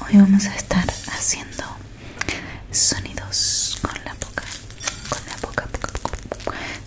Hoy vamos a estar haciendo sonidos con la boca,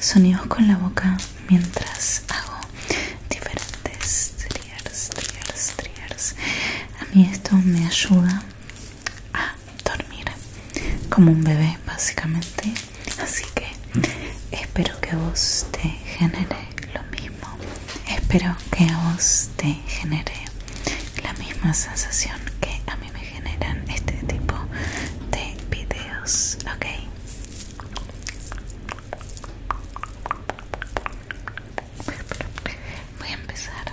sonidos con la boca mientras hago diferentes triers, triers. A mí esto me ayuda a dormir como un bebé, básicamente. Así que espero que vos te genere lo mismo. Espero que a vos te genere la misma sensación que a mí me generan este tipo de videos, ¿ok? Voy a empezar.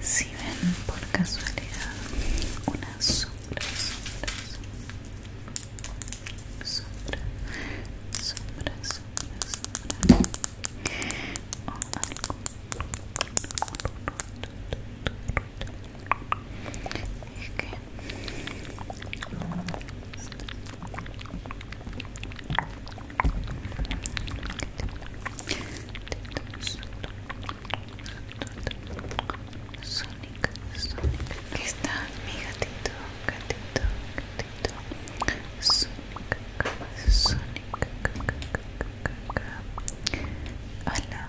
Si ven por casualidad una sombra, sombra, es que... está mi gatito, gatito, gatito, Sonic, Sonic, a la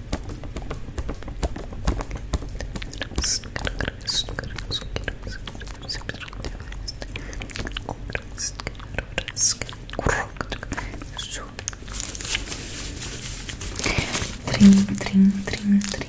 Trim, trim, trim, trim, trim. Trim,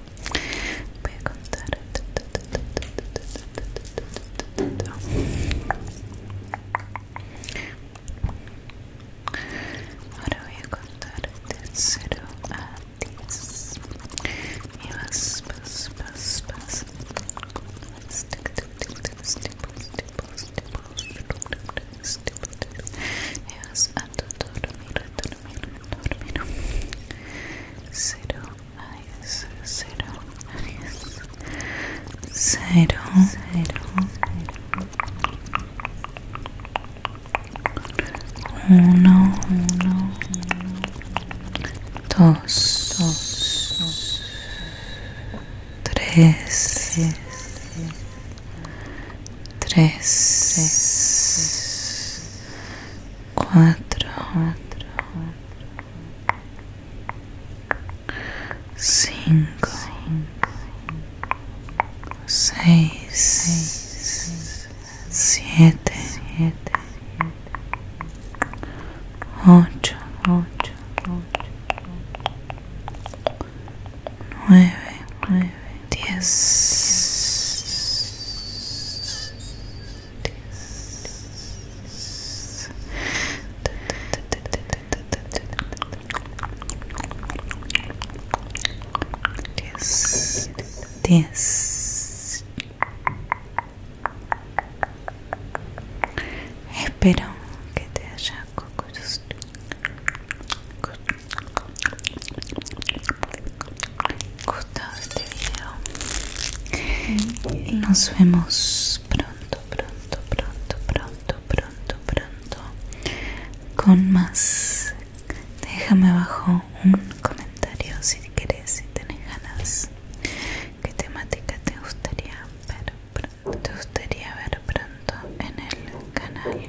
Voy a contar. Ahora voy a contar de cero a diez Y vas, a dormir, Cero cero 0, cero, cero, uno, uno, dos, tres, tres cuatro, cinco, seis, siete, ocho, ocho, nueve, nueve. this, this. This, this. Esperão que te haja gustado este video y nos vemos pronto, pronto, pronto, pronto, pronto, pronto con más. Déjame abajo un comentario si quieres, si tenés ganas. ¿Qué temática te gustaría ver pronto? ¿Te gustaría ver pronto en el canal?